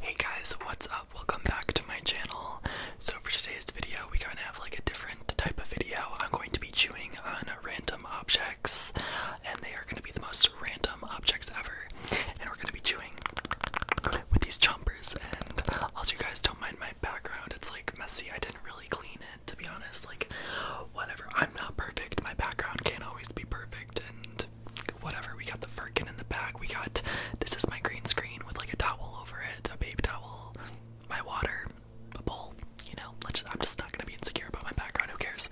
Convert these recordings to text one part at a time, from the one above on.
Hey guys, what's up? Welcome back to my channel. So for today's video, we're gonna have like a different type of video. I'm going to be chewing on random objects, and they are gonna be the most random objects ever. And we're gonna be chewing with these chompers. And also, you guys don't mind my background. It's like messy. I didn't really clean it, to be honest. Like, whatever. I'm not perfect. My background can't always be perfect, and whatever. We got the firkin in the back. We got this is my green screen with like a towel over it, a babe towel, my water, a bowl. You know, I'm just not gonna be insecure about my background. Who cares?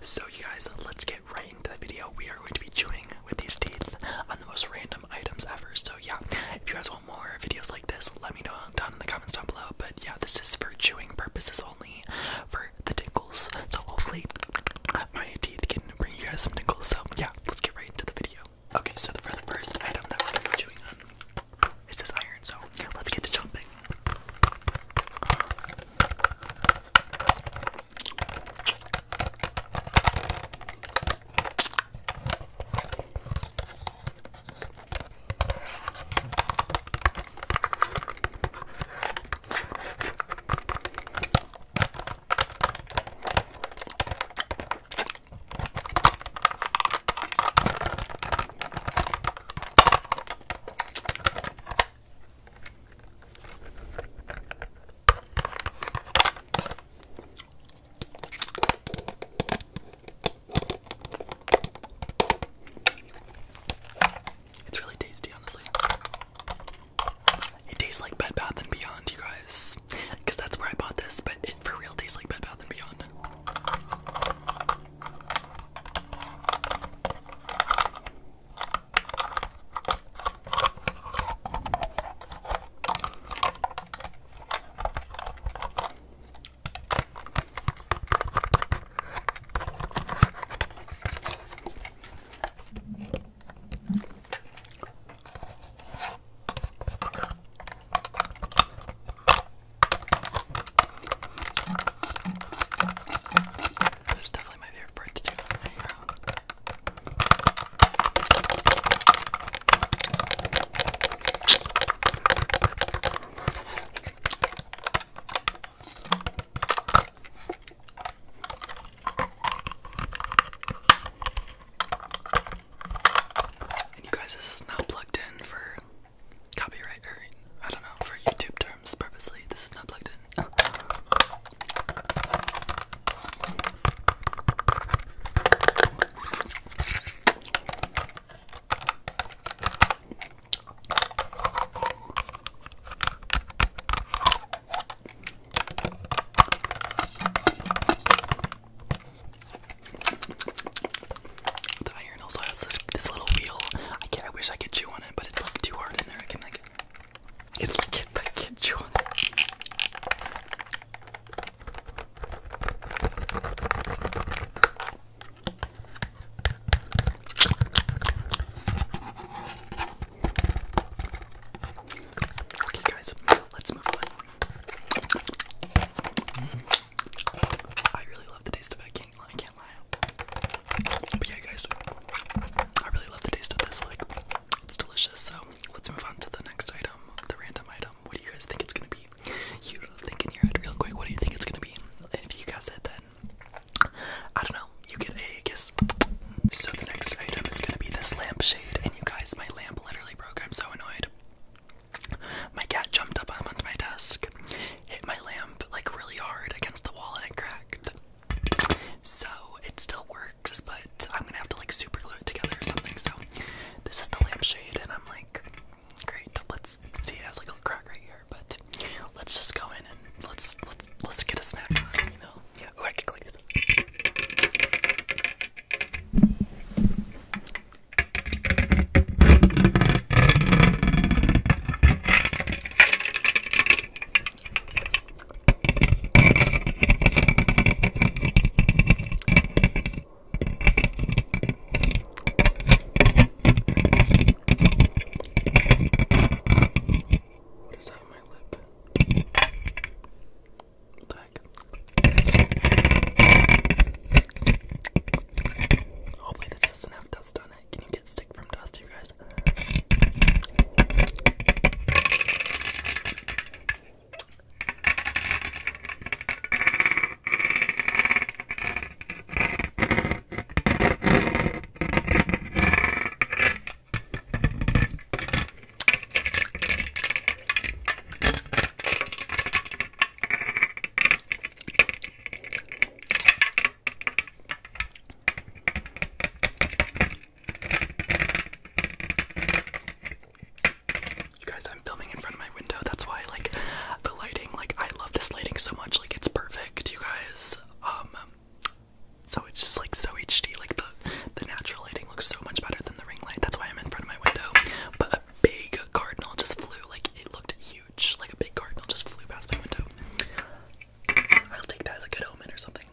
So you guys, let's get right into the video. We are going to be chewing with these teeth on the most random items ever. So yeah, if you guys want more videos like this, let me know down in the comments down below. But yeah, this is for chewing purposes only, for the so hopefully my teeth can bring you guys some tingles. So yeah, let's get right into the video. Okay, so the, first item that we're gonna be chewing on is this iron. So let's get to chomping. It's really tasty, honestly. It tastes like Bed Bath and Beyond, you guys, because that's where I bought this. But it for real tastes like Bed Bath and Beyond. This is definitely my favorite part to do on my hair you guys, this is not plugged in for copyright or I don't know, for YouTube terms purposely. This is not plugged in. The iron also has this little wheel. I wish I could chew on it, but it's like too hard in there. I can like. It's like I can't chew on it. Okay, guys, let's move on. I really love the taste of it. I can't, lie. But yeah, guys, I really love the taste of this. Like, it's delicious. So let's move on to the next item, the random item. What do you guys think it's gonna be? You think in your head real quick. What do you think it's gonna be? And if you guess it, then I don't know. You get a kiss. So the next item is gonna be this lampshade, and you guys, my lamp literally broke. I'm so annoyed. My cat jumped up onto my desk, hit my lamp like really hard against the wall, and it cracked. So it still works, but I'm gonna have to like super glue it together or something. So this is the lampshade, and I'm like, great. Let's see. It has like a crack right here but let's just go in and let's let's let's get a snack on, you know. I can click this. What is that on my lip? Black. Hopefully this doesn't have dust on it. Can you get stick from dust, you guys? You guys, I'm filming in front of my window. That's why, like, the lighting. Like, I love this lighting so much. Like, it's perfect. You guys, um, um, so it's just like so HD. Like the the natural lighting looks so much better than the ring light. That's why I'm in front of my window. But a big cardinal just flew. Like it looked huge. Like a big cardinal just flew past my window. I'll take that as a good omen or something.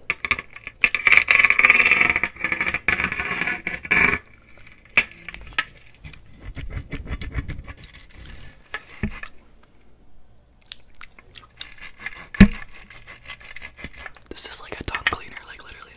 This is like a dog cleaner, like literally.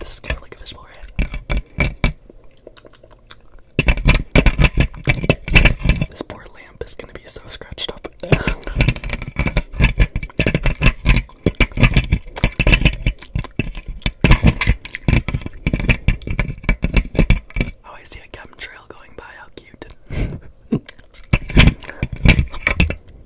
This is kind of like a fishbowl, right? This poor lamp is gonna be so scratched up. oh, I see a gum trail going by. How cute.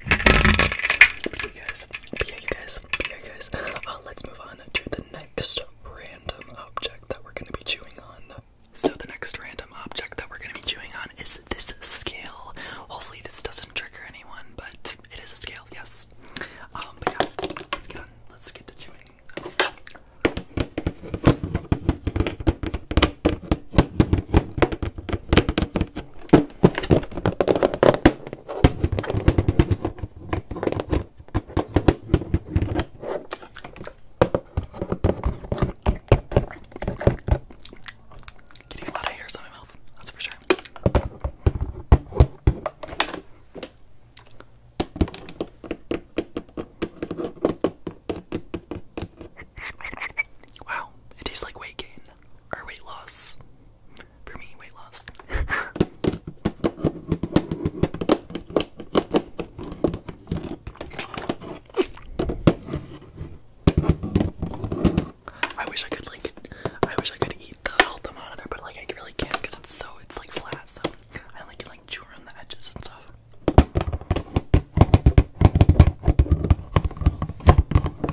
yeah, you guys. yeah, you guys. yeah, uh, you guys. let's move on to the next random object that we're gonna be chewing on. So the next random object that we're gonna be chewing on is this scale. Hopefully this doesn't trigger anyone, but it is a scale, yes. Um, let's get on. Let's get to chewing. Getting a lot of hairs on my mouth, that's for sure. Wow, it tastes like weight gain or weight loss for me, weight loss. I wish I could like, I wish I could eat the health monitor, but like I really can't because it's so it's like flat. So I like like chew around the edges and stuff.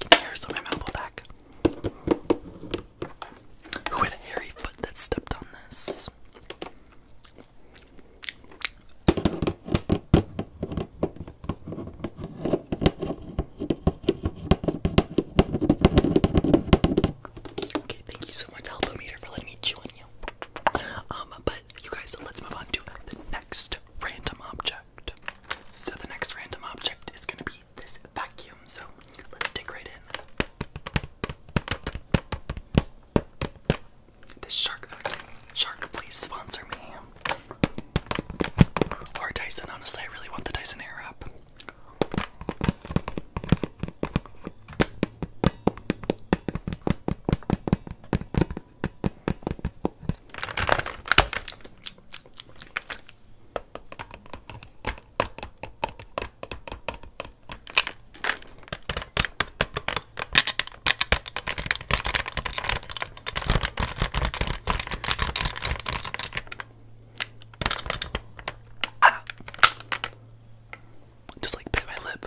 Give me Arizona Mallow Who had a hairy foot that stepped on this? Okay, thank you so much, Helpometer, for letting me chew on you. Um, but you guys, let's move on to the next random object. So the next random object is going to be this vacuum. So let's dig right in. This shark Shark, please sponsor me. Or Dyson. Honestly, I really want the Dyson up. Ah. Just like bit my lip.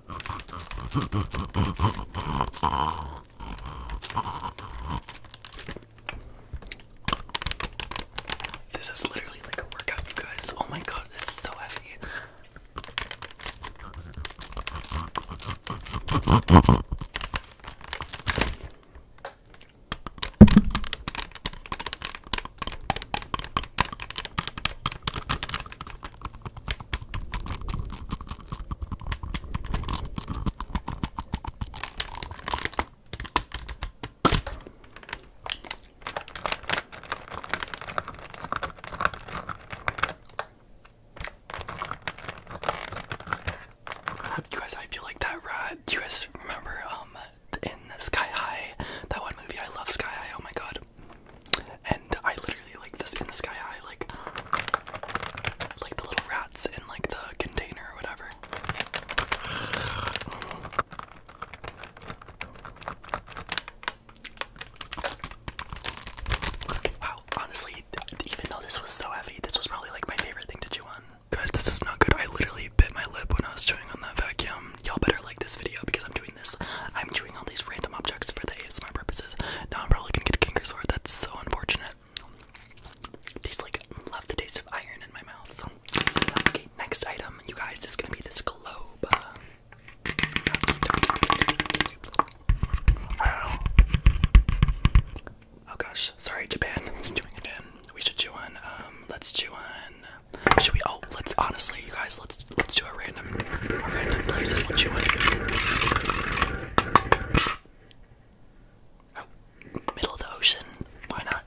This is literally like a workout, you guys. Oh my god, it's so heavy. You guys, I feel like that ride. Do you guys remember um in Sky High, that one movie? I love Sky High. Oh my god and I literally like this in the sky I like like the little rats in like the container or whatever. honestly, even though this was so heavy, this was probably like my favorite thing to chew on. Guys, this is not good. I literally bit my lip when I was chewing on that vacuum. Y'all better like this video because I'm doing this. I'm all these random objects for the ASMR purposes. Now I'm probably gonna get a kinker That's so unfortunate. Tastes like love the taste of iron in my mouth. Okay, next item, you guys, is gonna be this globe. Oh gosh, sorry, Japan. We should chew on. Um, let's chew on. Should we? Oh, let's honestly, you guys, let's let's let's do a random a random place and we'll chew on it. Oh, middle of the ocean. Why not?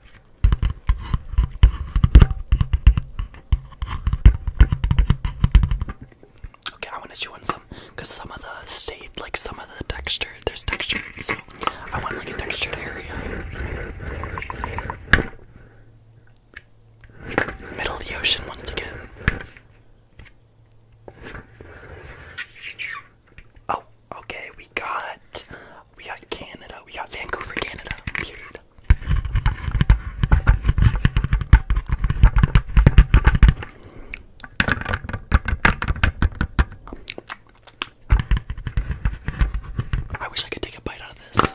Okay, I want to chew on some because some of the state, like some of the texture, there's texture, so I want like a textured area. Middle of the ocean once again. Oh, okay, we got we got Canada. We got Vancouver, Canada. Period. I wish I could take a bite out of this.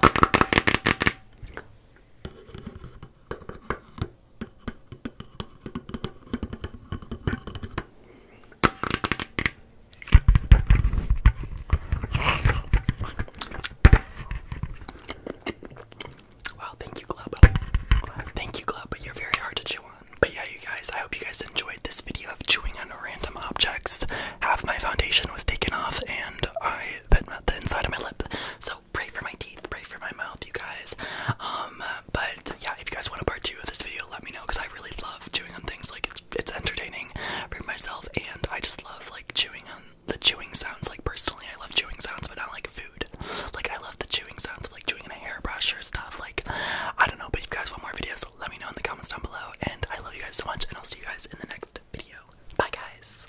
Wow, thank you, Club. Thank you, Club. You're very hard to chew on. But yeah, you guys, I hope you guys enjoyed this video of chewing on random objects. Half my foundation was taken off, and I bit the inside of my lip. So pray for my teeth, pray for my mouth, you guys. Um, but yeah, if you guys want a part two of this video, let me know because I really love chewing on things. Like it's it's entertaining for myself, and I just love like chewing on the chewing sounds. Like personally, I love chewing sounds, but not like food. Like I love the chewing sounds of like chewing in a hairbrush or stuff. Like I don't know, but if you guys want more videos, let me know in the comments down below. And I love you guys so much, and I'll see you guys in the next video. Bye, guys.